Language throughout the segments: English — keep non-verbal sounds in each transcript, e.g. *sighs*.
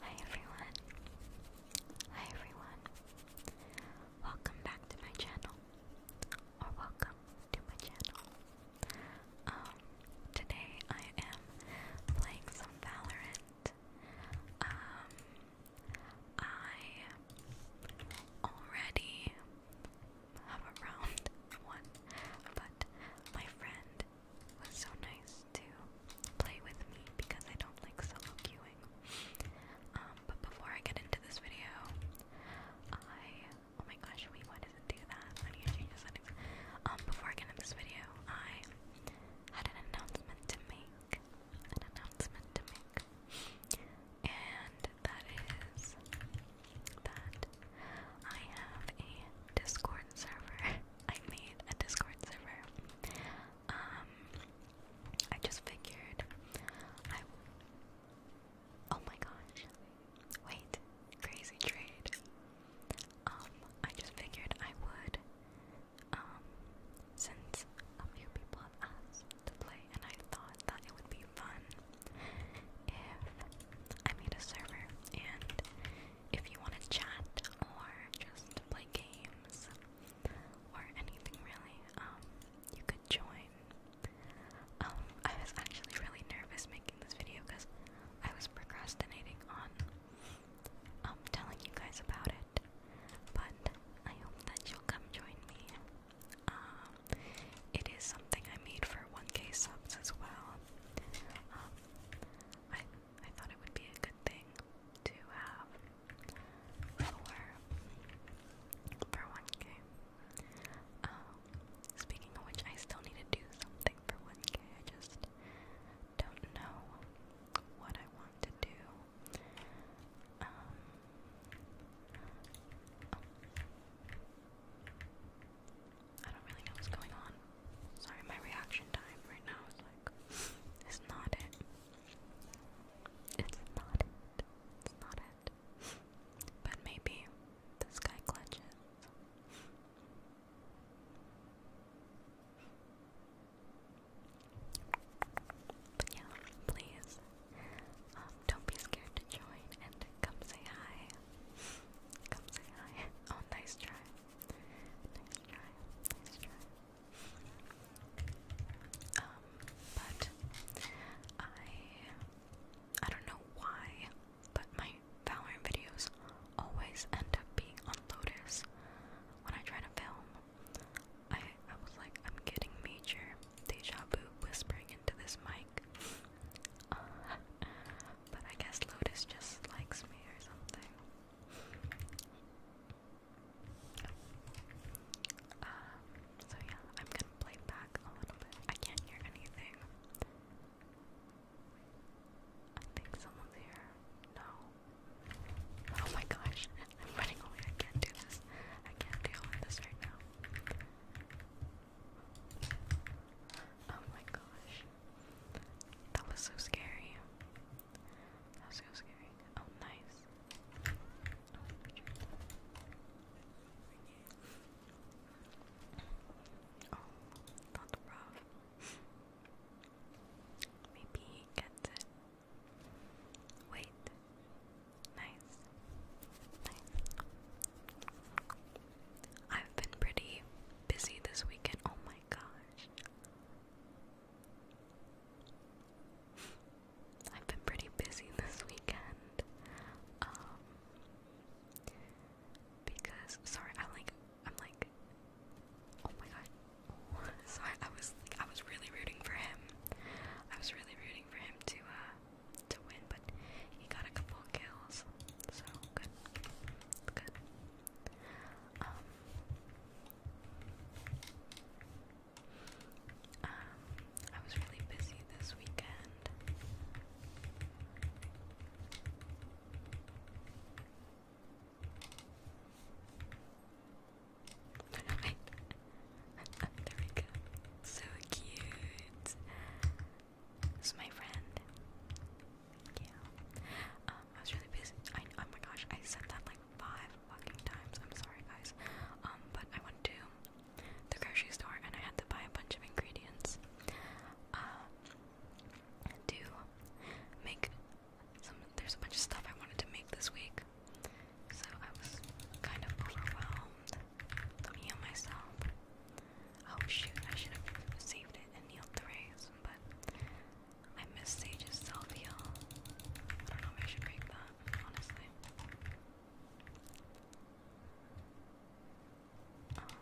Hi everyone. Hi everyone. Welcome back to my channel. Or welcome to my channel. Um today I am playing some Valorant. Um I already have around *laughs* one, but my friend was so nice to play with me because I don't like solo queuing. Um, but before I get into this video, I oh my gosh, wait, why does it do that? Why do you change the Um, before I get into this video, I had an announcement to make. An announcement to make. And that is that I have a Discord server. *laughs* I made a Discord server. Um, I just figured I. Oh my gosh. Wait, crazy trade. Um, I just figured I would um, since a few people have asked to play, and I thought that it would be fun if I made a server, and if you want to chat or just play games or anything really, um, you could join. Um, I was actually really nervous making this video because I was procrastinating on I'm um, telling you guys about it. But I hope that you'll come join me. Um, it is something I made for 1k subs as well. Um, I I thought it would be a good thing to have for for 1k. speaking of which, I still need to do something for 1k. I just don't know what I want to do. Um, I don't really know what's going on. Sorry, my reaction time right now is like, *laughs* it's not it. It's not it. It's not it. But maybe this guy glitches. But yeah, please, um, don't be scared to join and come say hi. Come say hi. *laughs* Oh, nice try. Nice try. Nice try. Um, but I, I don't know why, but my Valorant videos always end up being on Lotus when I try to film. I I was like, I'm getting major deja vu whispering into this mic. *laughs* but I guess Lotus just likes me or something. Um, so yeah, I'm gonna play back a little bit. I can't hear anything. I think someone's here. No. Oh my gosh, I'm running away. I can't do this. I can't deal with this right now. Oh my gosh. That was so scary. That was so scary. Oh, nice. Oh, not rough. Maybe he gets it. Wait. Nice. Nice. I've been pretty busy this weekend. Oh my gosh. I've been pretty busy *laughs* this weekend. Um because sorry, I'm like I'm like oh my god, *laughs* so I, was I was really rooting for him. I was really rooting for him to uh, to win, but he got a couple kills, so good, good. Um, um, I was really busy this weekend. Oh there we go. So cute. This is my friend. Yeah. Um, I was really busy. I, oh my gosh, I said that like five fucking times. I'm sorry, guys. Um, but I went to the grocery store and I had to buy a bunch of ingredients. Uh, to make there's a bunch of stuff I wanted to make this week, so I was kind of overwhelmed. heal myself. Oh shoot, I should have saved it and healed the rays, but I missed Sage's self heal. I don't know if I should break that, honestly. Um,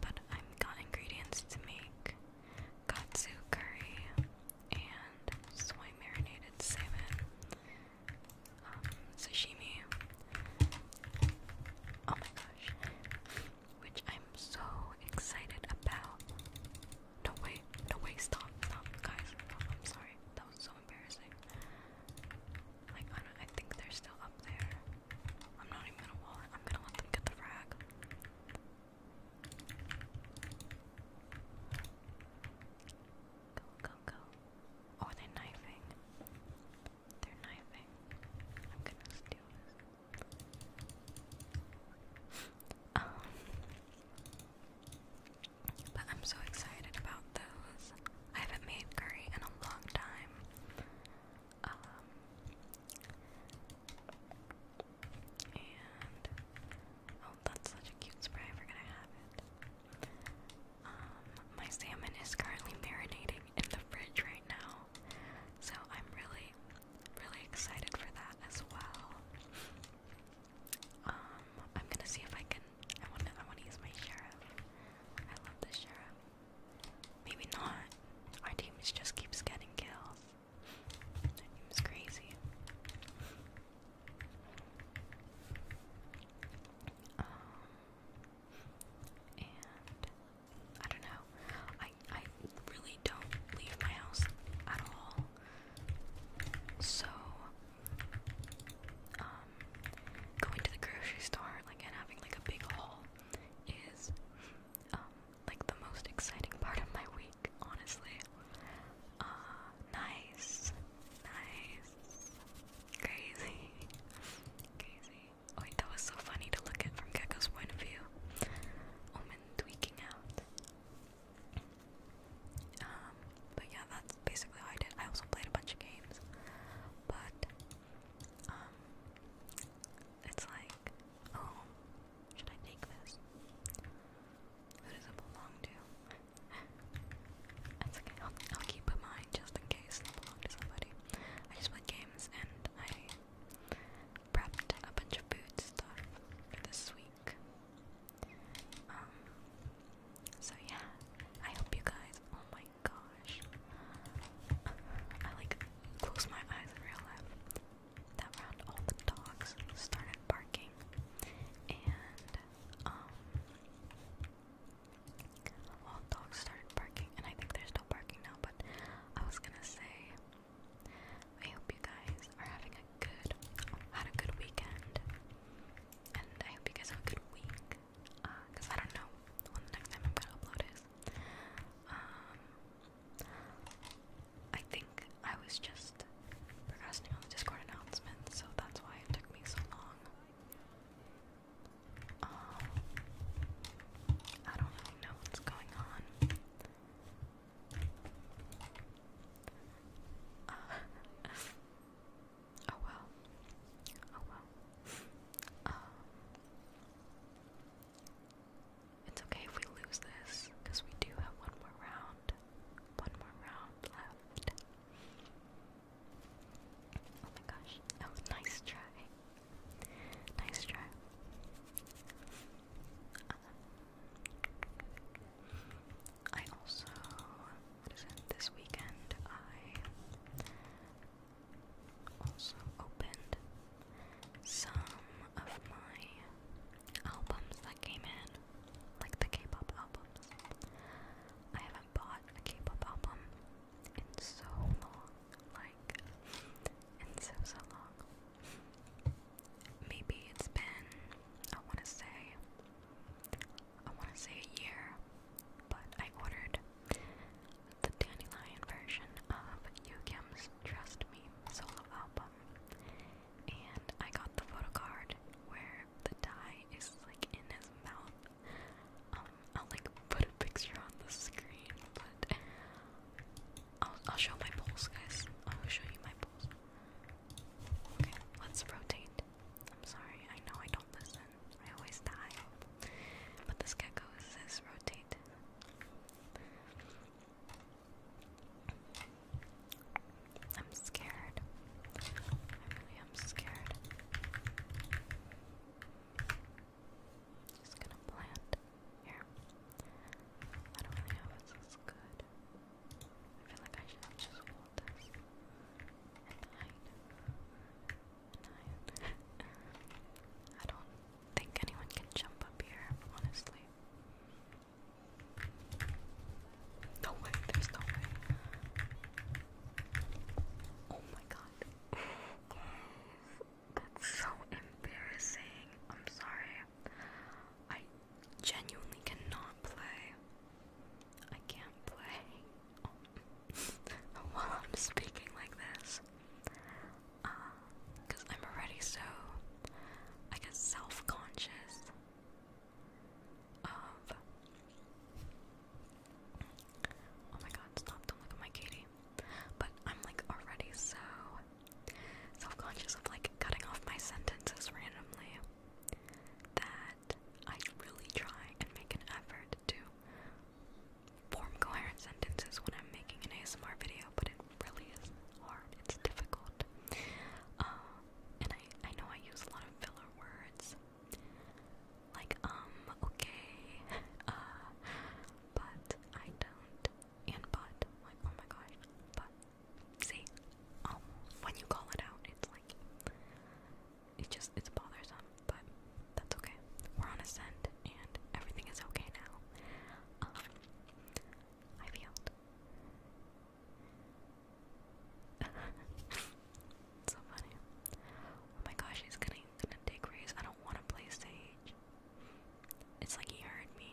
but I've got ingredients to make katsu curry, and soy marinated salmon, um, sashimi. Oh my gosh, which I'm so excited about. Don't wait, no wait, stop, stop, guys. I'm sorry, that was so embarrassing. Like I I think they're still up there. I'm not even gonna wall I'm gonna let them get the frag. Go, go, go. Oh, they knifing. They're knifing. I'm gonna steal this. *laughs* Um, but I'm so excited about those. I haven't made curry in a long time. Um, oh, that's such a cute spray. I forgot I have it. Um, my salmon is currently marinating in the fridge right now, so I'm really, really excited for that as well. Um, I'm gonna see if I can. I want I wanna use my sheriff. I love the sheriff. Maybe not. Our team just keeps getting kills. It was crazy. Um, and I don't know. I I really don't leave my house at all. So um, going to the grocery store like and having like a big haul is um, like the most exciting part of my week, honestly. Uh, nice, nice, crazy, crazy. Oh that was so funny to look at from Gecko's point of view. Omen tweaking out. Um, but yeah, that's basically all I did. I also played a bunch of games, but um, it's like. Oh, should I take this? Who does it belong to? That's okay, I'll, keep it mine just in case they belong to somebody. I just played games and I prepped a bunch of food stuff this week. Um, so yeah, I hope you guys, oh my gosh. I like close my eyes in real life that round all the dogs started barking and um all dogs started barking and I think there's are still barking now but I was gonna say I hope you guys are having a good had a good weekend and I hope you guys have a good week because uh, I don't know when the next time I'm gonna upload is um I think I was just procrastinating on the Discord announcement, so that's why it took me so long. Um, I don't really know what's going on. Uh, *laughs* oh well. Oh well. Um, it's okay if we lose this, because we do have one more round. One more round left. Oh my gosh. Oh, nice try. Nice try. Um, I also, what is it, this weekend I also opened some of my albums that came in, like the K-pop albums. I haven't bought a K-pop album in so long, like in so so long. Maybe it's been I want to say I want to say a year, but I ordered the Dandelion version of Yukim's Trust Me solo album. And I got the photo card where the dye is like in his mouth. Um, I'll like put a picture on the screen, but I'll I'll show my pulse, guys. I'll show you my pulse. Okay, let's rotate. I'm sorry, I know I don't listen. I always die. But this gecko says rotate. I'm scared. I really am scared. Just gonna plant here. I don't really know if this is good. I feel like I should just hold this and hide. *laughs* I don't think anyone can jump up here, honestly. No way, there's no way. Oh my god. That's so embarrassing. I'm sorry. I genuinely cannot play. I can't play. *laughs* While I'm speaking like this, because I'm already so, I guess, self conscious of. Oh my god, stop, don't look at my kitty. But I'm like already so self conscious of like cutting off my sentences randomly that I really try and make an effort to form coherent sentences when I'm making an ASMR video, but it really is hard. It's difficult. Uh, and I, I know I use a lot of filler words, like um, okay, uh, but I don't, and but, like, oh my gosh, but. See, um, when you call it out, it's like, it just, it's bothersome but that's okay. We're on ascent, and everything is okay now. Um, i healed. *laughs* so funny. Oh my gosh, he's gonna, gonna dig race. I don't want to play Sage. It's like he heard me.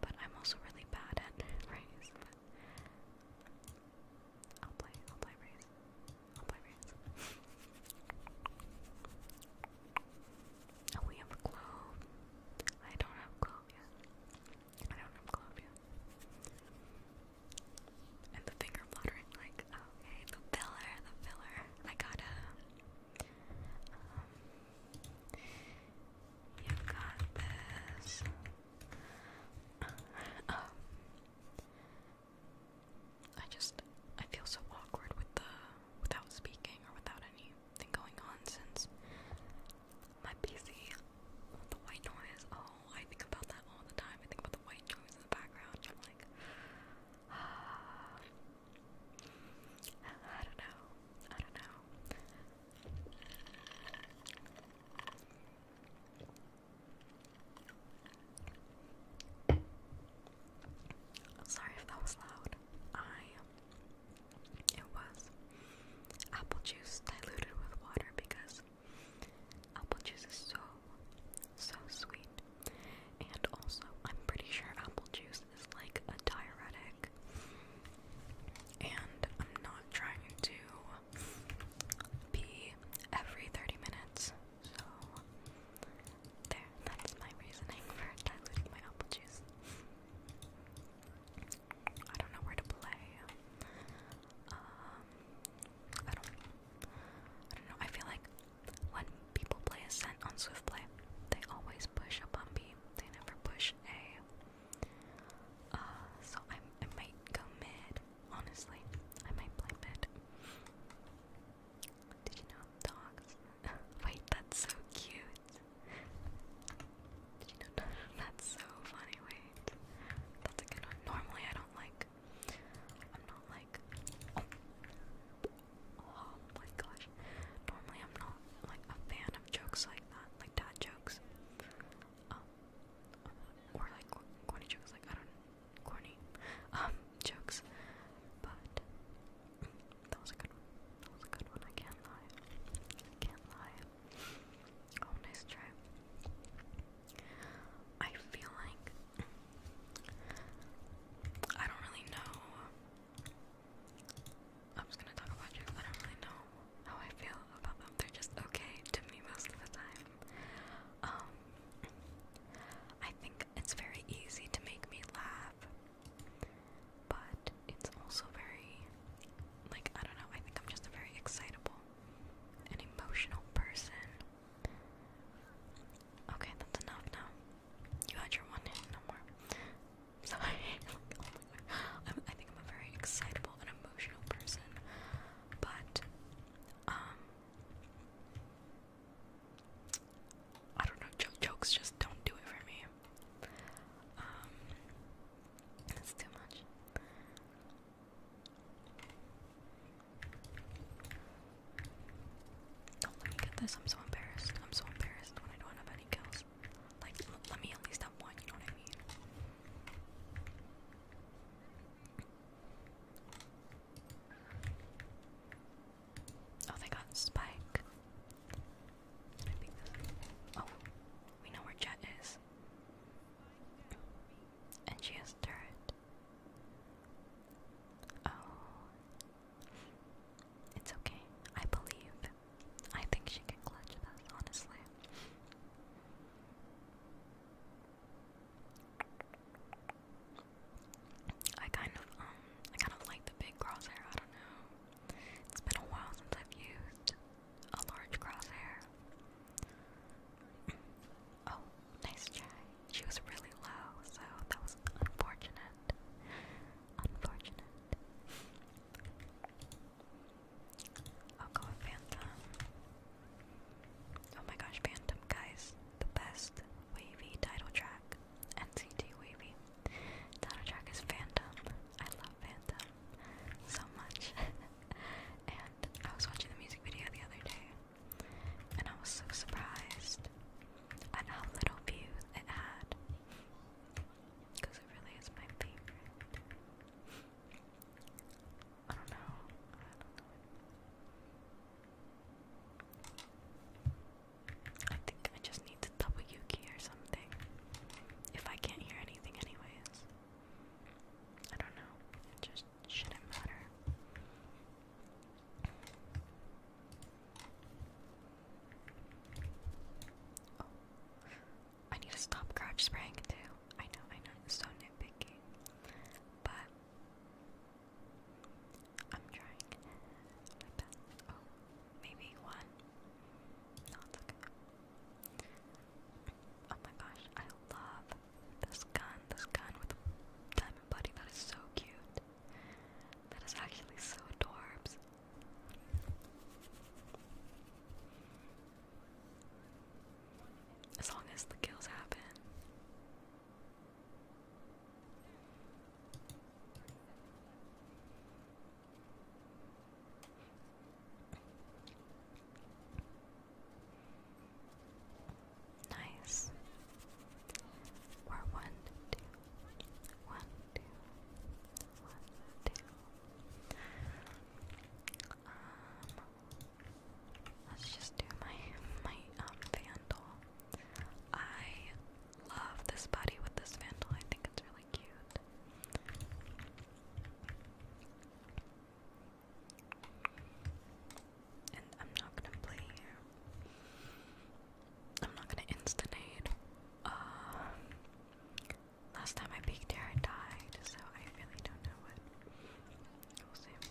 But I'm also really bad at race. I'll play, I'll play race i oh, we have a glove. I don't have glove yet. I don't have glove yet. And the finger fluttering, like, okay, oh, the filler, the filler. I got a. Um, you got this. Uh, oh. I just I feel so awkward with the without speaking or without anything going on since my PC the white noise. Oh, I think about that all the time. I think about the white noise in the background. I'm like, *sighs* I don't know. I don't know. Sorry if that was loud. I it was apple juice diluted with water because apple juice is so so sweet. And also I'm pretty sure apple juice is like a diuretic. And I'm not trying to be every 30 minutes. So there, that is my reasoning for diluting my apple juice. I don't know where to play. Um, I don't. know. I feel like when people play a scent on Swiftplay, they always push a B. They never push a. Uh, so i I might go mid. Honestly, I might play mid. Did you know dogs? *laughs* Wait, that's so cute. Did you know that's so funny? that's a good one. Normally, I don't like. I'm not like. Oh, my gosh. Normally, I'm not like a fan of jokes like that, like dad jokes. Um, or like corny jokes. Like I don't corny um jokes, but that was a good one. That was a good one. I can't lie. I can't lie. Oh, nice try. I feel like I don't really know. I'm just gonna talk about jokes. I don't really know how I feel about them. They're just okay to me most of the time. Um, I think it's very easy to make me laugh, but it's also very, like, I don't know, I think I'm just a very excitable and emotional person. Okay, that's enough now. You had your one no more. *laughs* Sorry. i think I'm a very excitable and emotional person, but um, I don't know, jokes just don't do it for me. Um, it's too much. Oh, let me get this. I'm so embarrassed. I'm so embarrassed when I don't have any kills. Like, let me at least have one, you know what I mean? Oh, they got Spike. oh, we know where Jet is. And she has turret. Oh. It's okay. I believe. I think she can clutch with honestly. I kind of um I kind of like the big crosshair, I don't know. It's been a while since I've used a large crosshair. oh, nice try. She was really low, so that was unfortunate. Unfortunate. I'll oh, go with Phantom. Oh my gosh, Phantom guys, the best wavy title track. NCT wavy title track is Phantom. I love Phantom so much. *laughs* and I was watching the music video the other day, and I was so surprised at how little views it had. Because it really is my favorite. I don't know. I think I just need to double Yuki or something. If I can't hear anything, anyways. I don't know. It just shouldn't matter. Oh. I need to stop crouch spraying too. I know, I know, so nitpicky. But I'm trying my best. Oh, maybe one. No, okay. Oh my gosh, I love this gun. This gun with diamond buddy. That is so cute. That is actually so adorbs. As long as the kills happen. Nice. We're one, two, one, two, one, two. Um, let's just do my my um I love this body with this vandal. I think it's really cute. And I'm not gonna play I'm not gonna instant aid. Uh, last time I peeked here, I died, so I really don't know what. We'll see.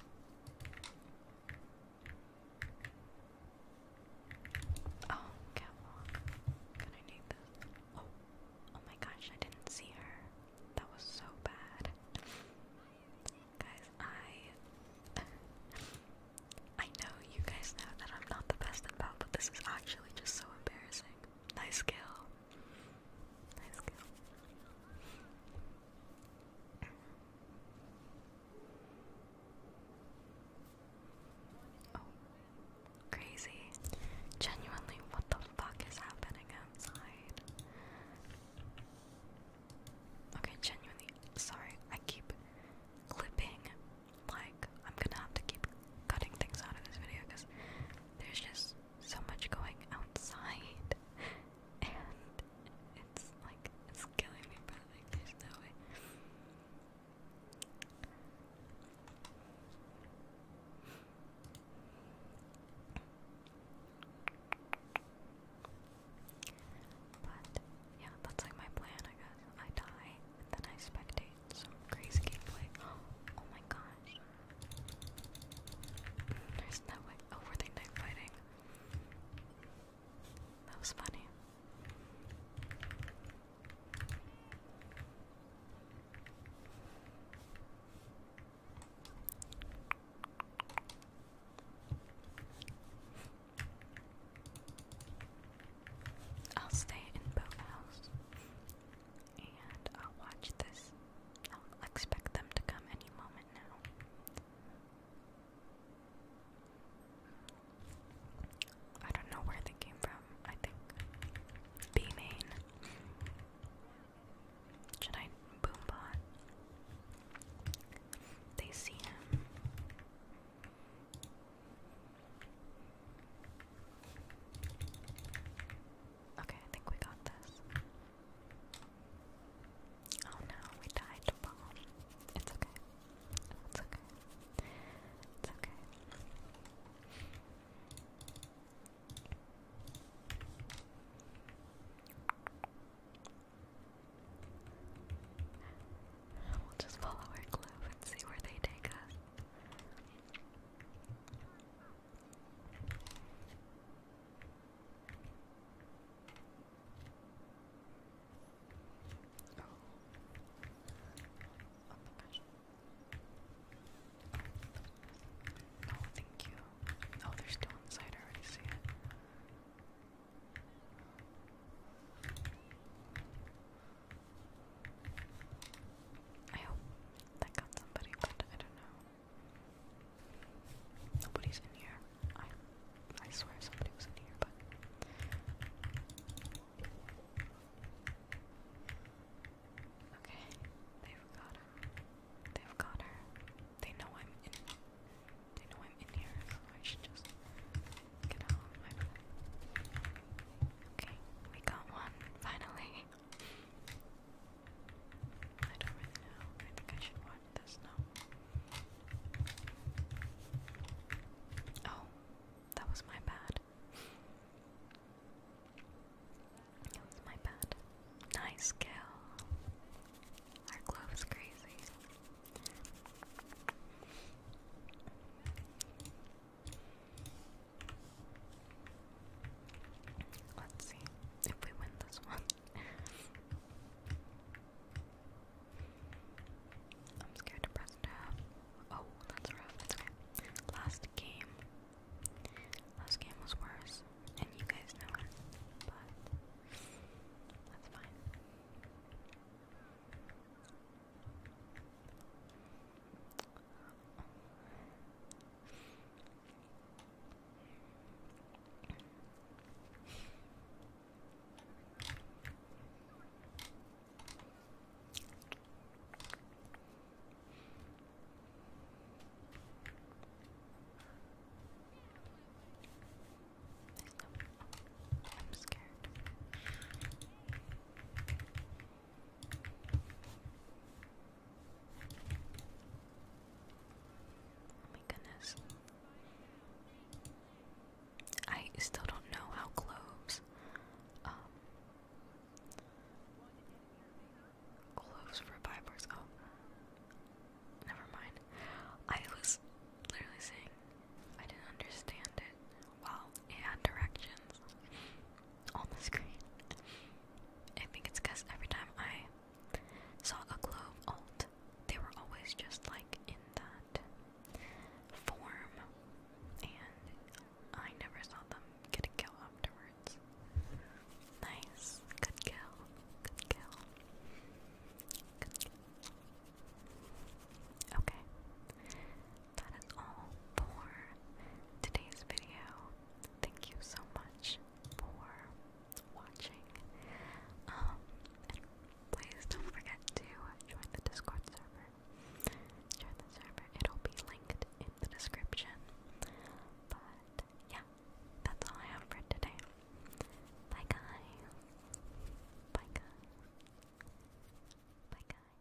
Oh, catwalk. Gonna need this. Oh, oh my gosh, I didn't see her. That was so bad. Guys, I I know you guys know that I'm not the best at that, but this is actually just so embarrassing. Nice kill. Oh, crazy. Genuinely, what the fuck is happening outside? Okay, genuinely, sorry, I keep clipping. Like, I'm gonna have to keep cutting things out of this video because there's just so much going outside and it's like it's killing me, but like there's no way. But yeah, that's like my plan. I guess I die then I spectate some crazy gameplay. *gasps* Oh my gosh! There's no way. Oh, were they night fighting? That was funny. I'll stay in Boathouse and I'll watch this I'll expect them to come any moment now. I don't know where they came from. I think B Should I boom They see him. Okay, I think we got this. Oh no, we died It's okay. It's okay. It's okay. We'll just follow our clue and see where they take us. Oh. thank you. Oh, they're still inside. I already see it. I hope that got somebody, but I don't know. Nobody's in here. I I swear somebody was in here, but Okay. They've got her. They've got her. They know I'm in they know I'm in here, I should just get out Okay, we got one, finally. I don't really know. I think I should watch this now. Oh, that was my bad. That was my bad. Nice kill. Our glove is crazy. Let's see if we win this one. I'm scared to press tab. Oh, that's rough. Last game. Last game was worse, and you guys know it, but that's fine. I'm scared. Oh my goodness. I still don't know how cloves um cloves for vipers oh never mind. I was literally saying I didn't understand it. Well, it had directions on the screen. I think it's because every time I saw a globe alt, they were always just like in that form, and I never saw them get a kill afterwards. Nice, good kill, good kill. Okay, that is all for today's video thank you so much for watching. Um, please don't forget to join the Discord server. Join the server, it'll be linked in the description. But yeah, that's all I have for today. Bye guys. Bye guys. Bye guys.